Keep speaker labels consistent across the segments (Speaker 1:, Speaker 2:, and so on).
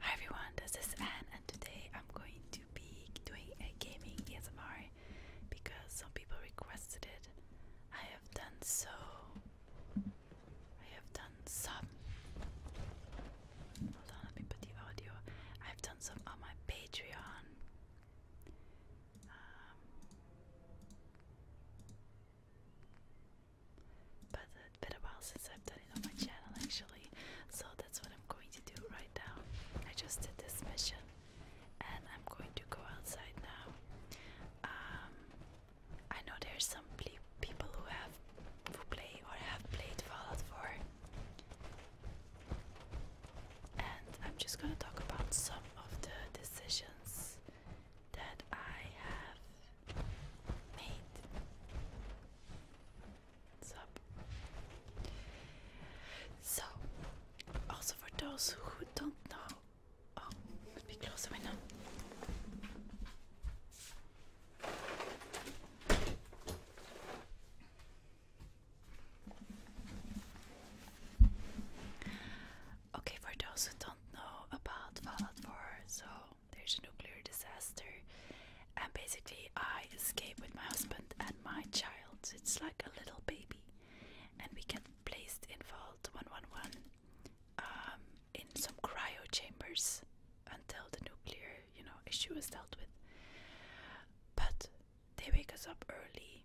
Speaker 1: Hi everyone, this is Anne and today I'm going to be doing a gaming ASMR because some people requested it. I have done so. I have done some. Hold on, let me put the audio. I've done some on my Patreon. Um, but it's been a while since I've done it on my channel actually, so that's what I'm going to do right now. I just did this mission and I'm going to go outside now. Um, I know there's some people who have who play or have played Fallout 4. And I'm just gonna talk about some of the decisions that I have made. What's up? So, also for those who don't know, oh, let me close the Okay, for those who don't know about Fallout 4, so there's a nuclear disaster. And basically, I escape with my husband and my child. It's like a little baby. And we get placed in Vault 111 um, in some cryo chambers until the nuclear, you know, issue is dealt with. But they wake us up early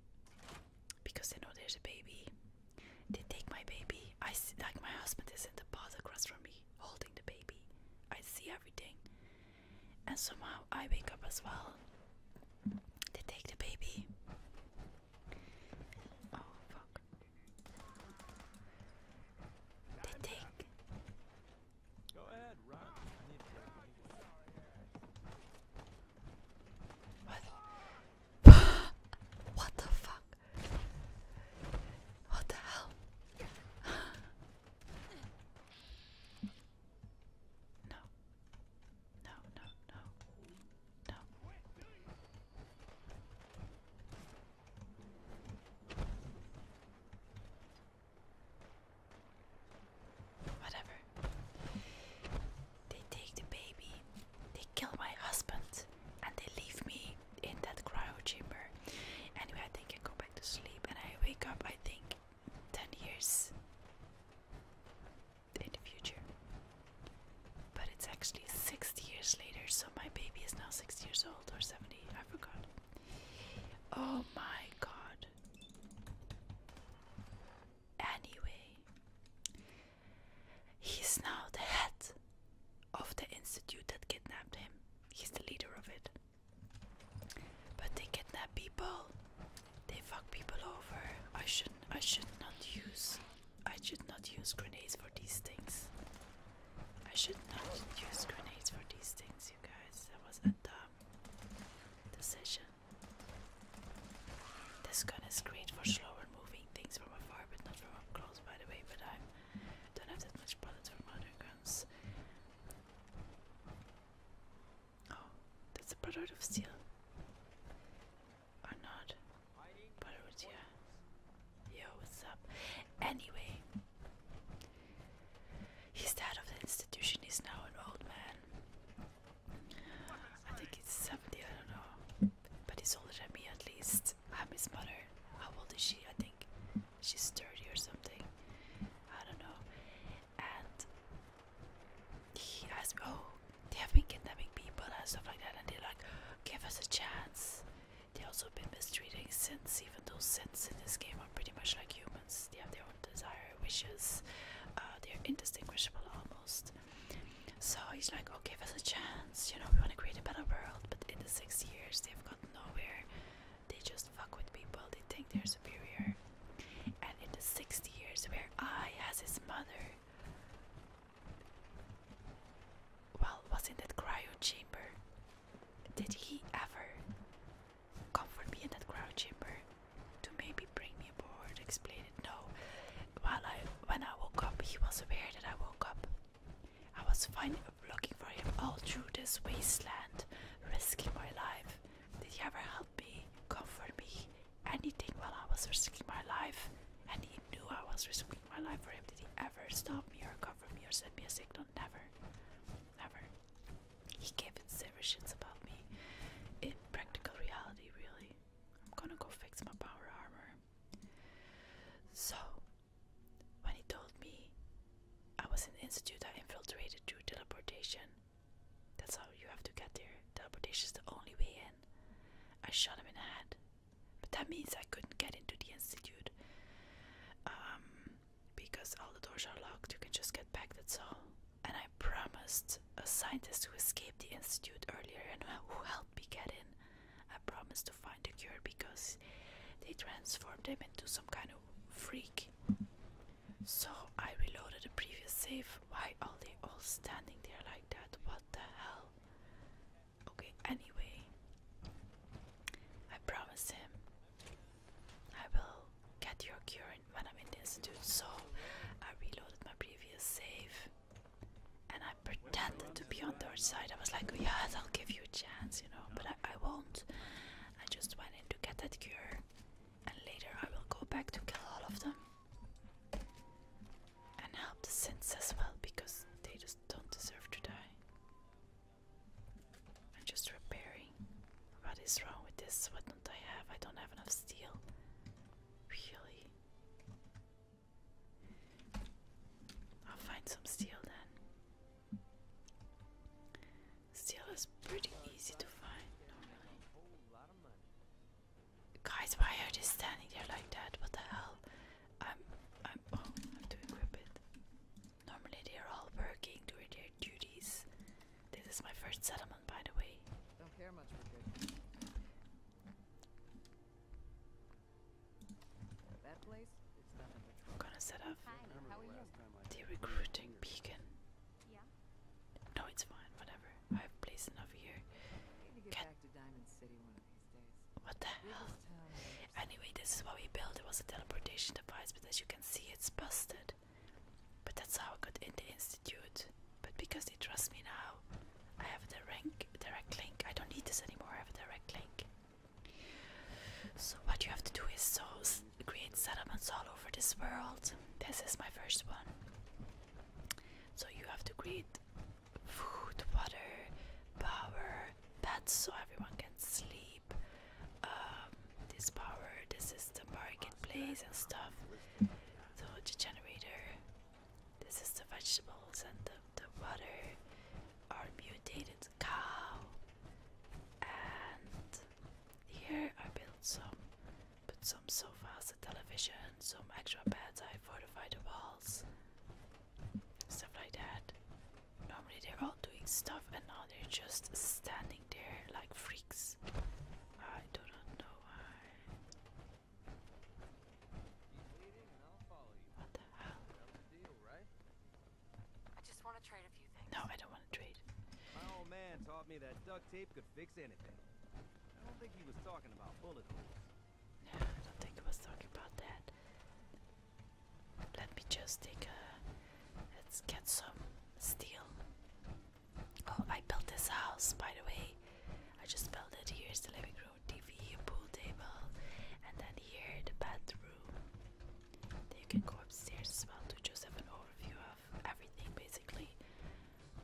Speaker 1: because they know there's a baby. They take my baby. I see, like my husband is in the pod across from me holding the baby. I see everything. And somehow I wake up as well. They take the baby. Oh fuck. They take. Go ahead, what the fuck? What the hell? no. No, no, no. No. Whatever. They take the baby, they kill my husband, and they leave me in that cryo chamber. Anyway, I think go back to sleep and I wake up, I think, 10 years in the future. But it's actually 60 years later, so my baby is now 60 years old or 70, I forgot. Oh my god. Anyway, he's now the head of the institute that kidnapped him. He's the leader of it. But they kidnap people. They fuck people over. I shouldn't I should not use I should not use grenades for these things. I should not use grenades for these things, you guys. That was a dumb decision. This gun is great for slower moving things from afar, but not from up close, by the way. But I'm don't have that much bullets for modern guns. Oh, that's a product of steel. Or not. But yeah. Yo, what's up? Anyway, he's the head of the institution. He's now an old man. I think he's 70, I don't know. But he's older than me at least. That's Hami's mother. How old is she? I think she's 30 or something. I don't know. And he asked me, Oh, they have been kidnapping people and stuff like that. And they're like, Give us a chance. They also been mistreating since, even though since in this game are pretty much like humans. They have their own desire, wishes. Uh, they're indistinguishable almost. So he's like, "Oh, give us a chance." you know, we want to create a better world, but in the sixty years they've got nowhere. They just fuck with people, they think they're superior. And in the 60 years, where I, as his mother, well, was in that cryo chamber, did he ever come for me in that cryo chamber to maybe bring me aboard, explain it? No. While I, when I woke up, he was aware that I woke up. I was finding looking for him all through this wasteland, risking my life. Did he ever help me, comfort me, anything while I was risking my life? And he knew I was risking my life for him. Did he ever stop me or comfort me or send me a signal? Never. Never. He gave zero shits about me. In practical reality, really. I'm gonna go fix my power armor. So when he told me I was in an institute I infiltrated through teleportation. That's how you have to get there. Teleportation is the only way in. I shot him in the head. But that means I couldn't get into the institute. Um, because all the doors are locked, you can just get back, that's all. And I promised a scientist who escaped the institute earlier and who helped me get in I promised to find a cure because they transformed him into some kind of freak. So I reloaded the previous save. Why are they all standing there like that? What the hell? Okay, anyway, I promised him I will get your cure when I'm in the institute. So I reloaded my previous save and I pretended to be on their side. I was like, yeah, they'll give you a chance, you know, but I, I won't. I just went in to get that cure, and later I will go back to kill all of them and help the synths as well because they just don't deserve to die. I'm just repairing. What is wrong with this? What don't I have? I don't have enough steel. Really? I'll find some steel then. Steel is pretty easy to find, not Guys, why are they standing there like that? What the hell? I'm I'm oh, I have to it. Normally they're all working doing their duties. This is my first settlement by the way. That place gonna set up
Speaker 2: the recruiting beacon.
Speaker 1: Yeah. No, it's fine, whatever. I have place enough here. What the hell? Anyway, this is what we built. It was a teleportation device, but as you can see, it's busted. But that's how I got in the institute. But because they trust me now, I have a direct, direct link. I don't need this anymore. I have a direct link. So what you have to do is so create settlements all over this world. This is my first one. So you have to create food, water, power, beds so everyone can sleep. Um, this power, this is the marketplace and stuff. So the generator. This is the vegetables and the, water. butter are mutated cow. And here I built some, put some sofas, a television, some extra beds. I fortified the walls, stuff like that. Normally they're all doing stuff and now they're just standing there like freaks. I do not know why. What the hell? I just want to trade a few things. No, I don't want to trade. My old man taught me that duct tape could fix anything. I don't think he was talking about bullet holes. No, I don't think he was talking about that. Let me just take a. Let's get some steel. Oh, I built this house, by the way. I just built it. Here's the living room. TV, pool table, and then here the bathroom. you can go upstairs as well to just have an overview of everything basically.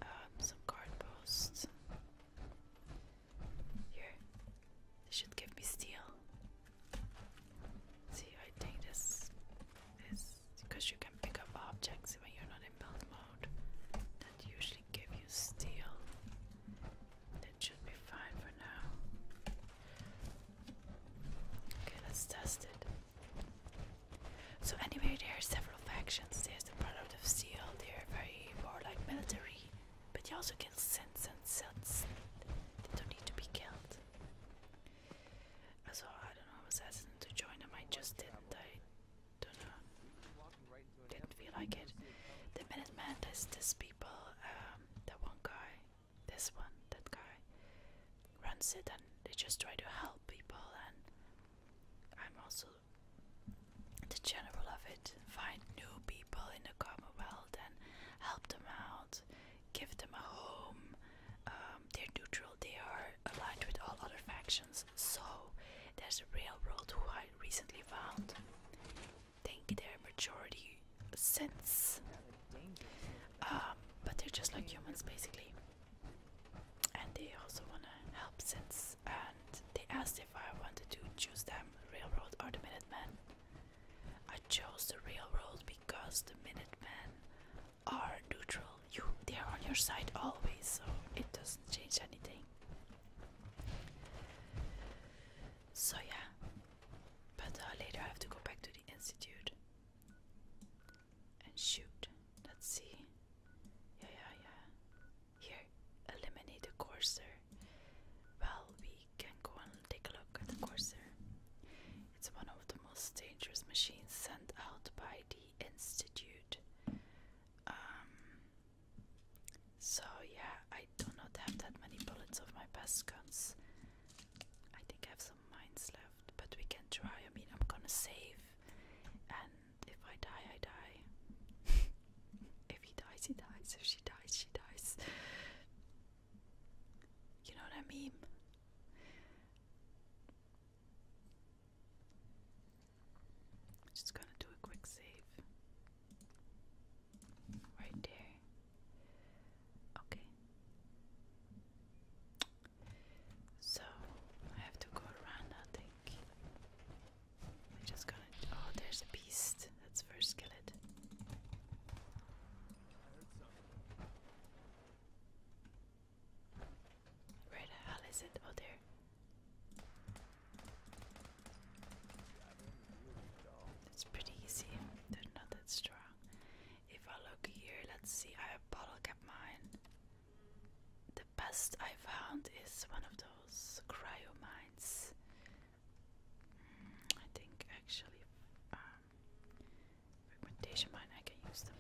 Speaker 1: Um, some card posts. Here. They should give me steel. See, I think this is because you can pick up objects when you're not in build mode. That usually give you steel. That should be fine for now. Okay, let's test it. So anyway, there are several factions. There's the product of steel. They're very warlike military, but you also kill sense and sense. They don't need to be killed. So I don't know, I was asking to join them. I just didn't. I don't know didn't feel like it. The Minutemen, there's this people, um, that one guy, this one, that guy, runs it and they just try to help people and I'm also the general of it. Find new people in the Commonwealth and help them out, give them a home. Um, they're neutral, they are aligned with all other factions. So there's a railroad who I recently found think they their majority sense. Um, but they're just like humans basically. And they also wanna help sense and they asked if I wanted to choose them, Railroad or the Minutemen. I chose the Railroad because the Minute Men are neutral. You they are on your side always, so it doesn't change anything. So yeah, but uh, later I have to go back to the institute and shoot. Let's see. Yeah, yeah, yeah. Here, eliminate the Corsair. Well, we can go and take a look at the Corsair. It's one of the most dangerous machines sent out by the institute. Um, so yeah, I do not have that many bullets of my best guns. I think I have some mines left, but we can try. I mean, I'm gonna save, and if I die, I die. if he dies, he dies. If she dies, she dies. You know what I mean? Just gonna do a quick save. Right there. Okay. So I have to go around, I think. I just gonna. Oh, there's a beast. That's first skillet. Where the it? Oh, there. It's pretty easy. They're not that strong. If I look here, let's see. I have bottle cap mine. The best I found is one of those cryo mines. Mm, I think actually, um, fragmentation mine. I can use them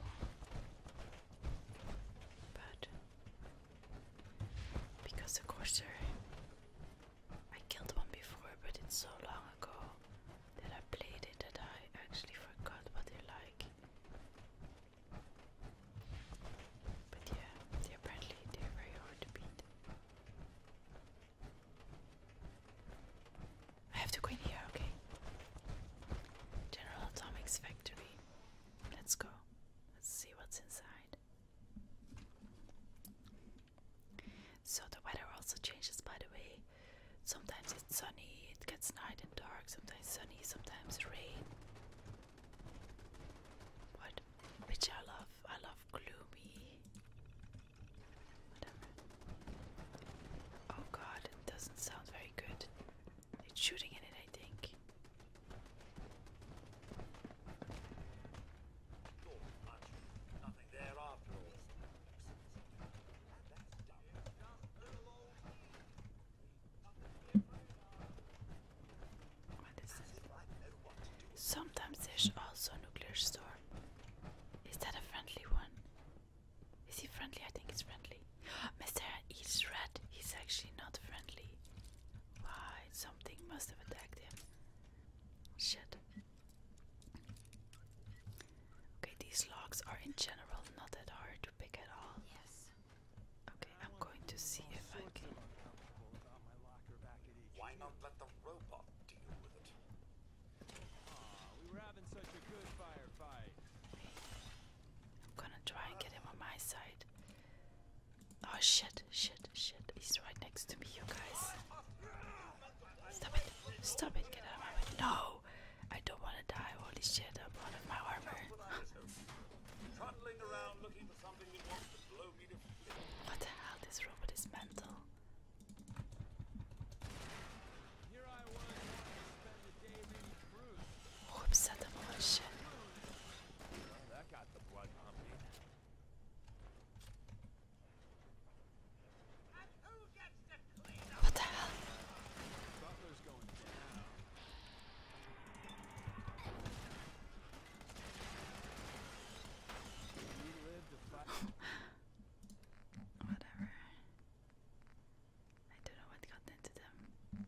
Speaker 1: but because the Corsair, I killed one before, but it's so long ago that I played it that I actually forgot what they are like. But yeah, they are apparently they're very hard to beat. I have to go in here, okay. General Atomics Factory. Let's go. Let's see what's inside. So the weather also changes by the way. Sometimes it's sunny, it gets night and dark, sometimes sunny, sometimes rain. But which I love. I love gloomy. Oh god, it doesn't sound very good. It's shooting in it I think. Sometimes there's also a nuclear storm. Is that a friendly one? Is he friendly? I think he's friendly. Mr. Eats Red, he's actually not friendly. Right, something must have attacked him. Shit. Okay, these logs are in general not that hard to pick at all. Yes. Okay, I'm going to see if I can. Why not let the robot deal with it? I'm gonna try and get him on my side. Oh shit, shit, shit. He's right next to me, you guys. Stop it. Stop it. Get out of my way. No! I don't want to die. Holy shit, I'm out my armor. what the hell? This robot mental. Whoops, at the moment, shit. What the hell? Butler's going down. Whatever. I don't know what got into them.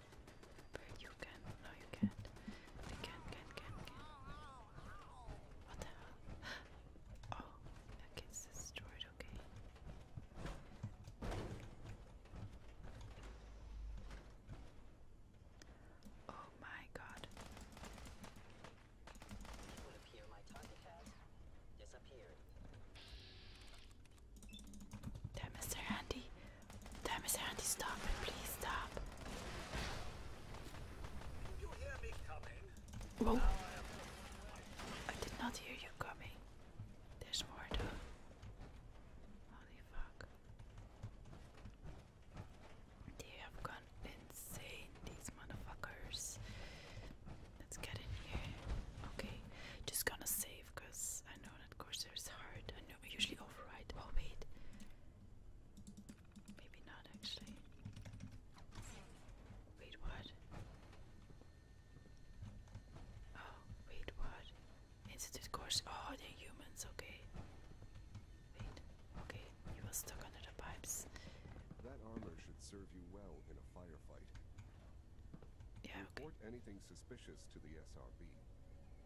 Speaker 1: You can. No, you can can, can, can, can. What the hell? Oh, that gets destroyed, okay. Oh my god. There, Mr. Handy! There, Mr. Handy! stop it, please stop. Whoa. I, did not hear you coming. There's more though. Holy fuck. They have gone insane, these motherfuckers. Let's get in here. Okay, just gonna save because I know that Corsair is hard no, usually override. Oh wait, maybe not actually. Wait, what? Oh, wait, what? Institute course. Oh, they're humans. Okay. Wait. Okay, you were stuck under the pipes. That armor should serve you well in a firefight. Report anything suspicious to the SRB.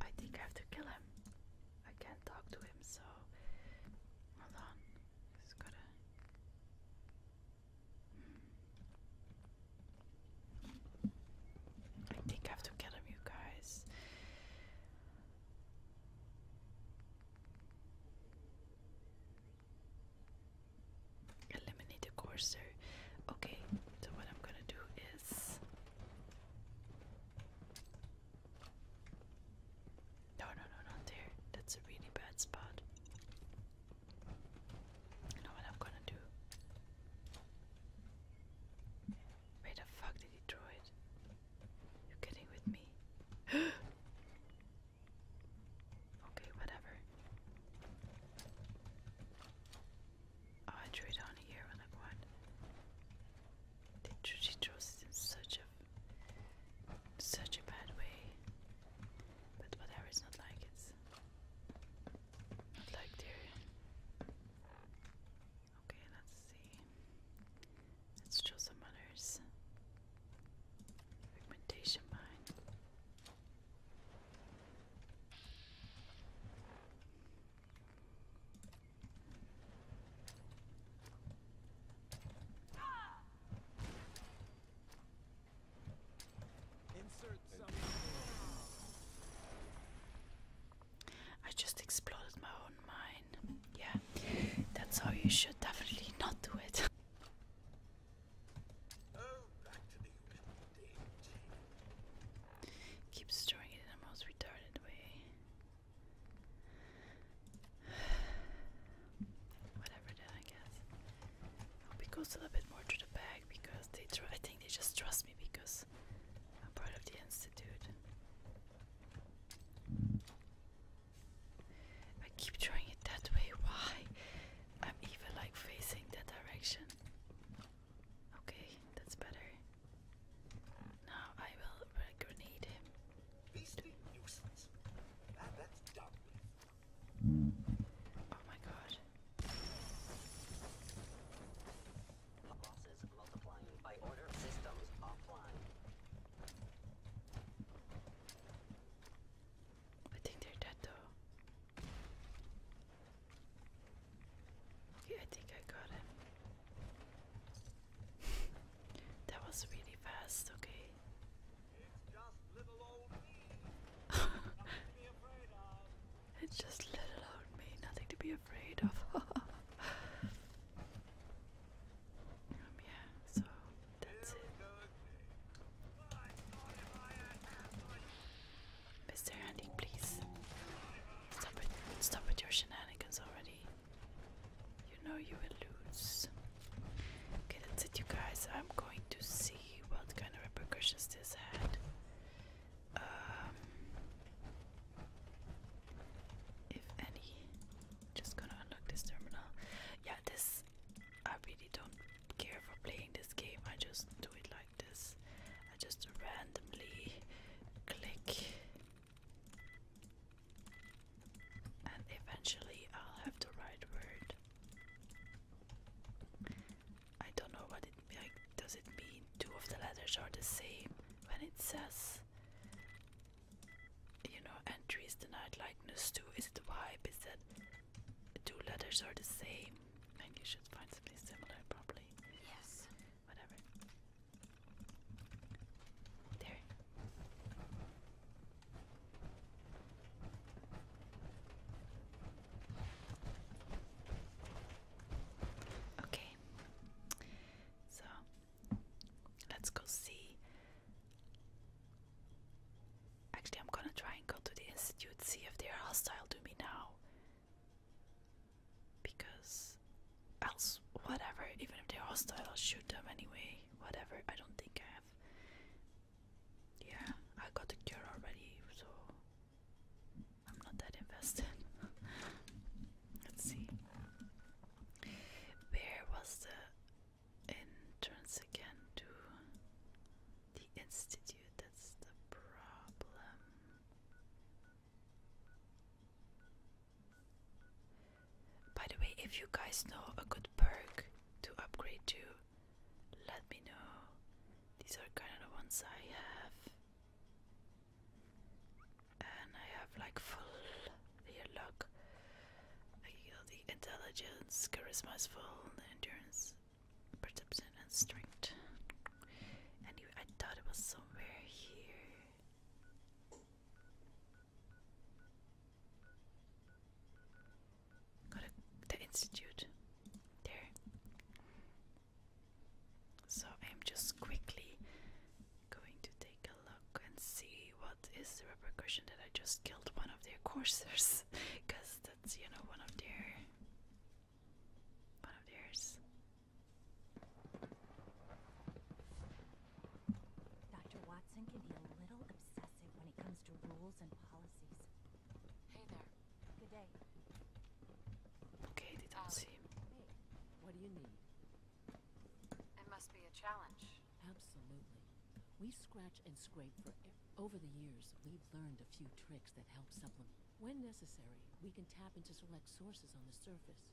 Speaker 1: I think I have to kill him. I can't talk to him, so hold on. I think I have to kill him, you guys. Eliminate the Corsair. Okay, so what I'm gonna do is. No, no, no, not there. That's a really bad spot. You what I'm gonna do? Where the fuck did he throw it? You're kidding with me? okay, whatever. I drew it on here and like what? she draws it in such a such a bad way. But whatever, it's not like it's not like there. Okay, let's see. Let's draw some others. Pigmentation mine. I just exploded my own mind. Yeah, that's how you should definitely not do it. Oh, Keeps storing it in the most retarded way. Whatever then, I guess. it goes a little bit more to the back because they I think they just trust me because I'm part of the institute. I keep throwing it that way. Why? I'm even like facing that direction. Okay, that's better. Now I will grenade him. Beastly nuisance. And that's done with. Oh my god. I think they're dead though. Okay, I think I got him. that was really fast, okay. It's just little old me. nothing to be afraid of. Um, yeah, so that's it. Mr. Handy, please. Stop with your shenanigans already. You know you will lose. Okay, that's it, you guys. I'm going to see what kind of repercussions this had. Um, if any. Just gonna unlock this terminal. Yeah, this. I really don't care for playing this game. I just do it like this. I just randomly click, and eventually I'll have the right word. I don't know what it like. Does it mean two of the letters are the same when it says? You know, entries denied likeness to. Is it vibe? Is that two letters are the same, and you should find something similar, probably. Yes. Whatever. There. Okay. So let's go see. Actually, I'm gonna try and go to the institute, see if they are hostile to me now. Because else, whatever, even if they're hostile, I'll shoot them anyway. Whatever, I don't think I have. Yeah, I got the cure already, so I'm not that invested. Let's see. Where was the entrance again to the institute? that's the problem. By the way, if you guys know a good perk to upgrade to, let me know. These are kind of the ones I have. And I have like full real I got the intelligence, charisma full, endurance perception and strength. Anyway, I thought it was somewhere here. Got the institute there. So I'm just quickly going to take a look and see what is the repercussion that I just killed one of their coursers, because that's you know one of their one Dr. Watson can be a little obsessive when it comes to rules and policies. Hey there. Good day. Okay, they um, what do you need? It must be a challenge. Absolutely. We scratch and scrape for over the years. We've learned a few tricks that help supplement. When necessary, we can tap into select sources on the surface.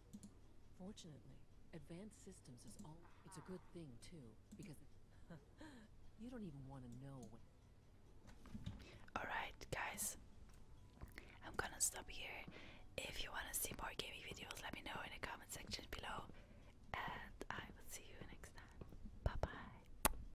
Speaker 1: Fortunately, advanced systems is all... It's a good thing, too, because... you don't even want to know when... Alright, guys. I'm gonna stop here. If you wanna see more gaming videos, let me know in the comment section below. And I will see you next time. Bye bye.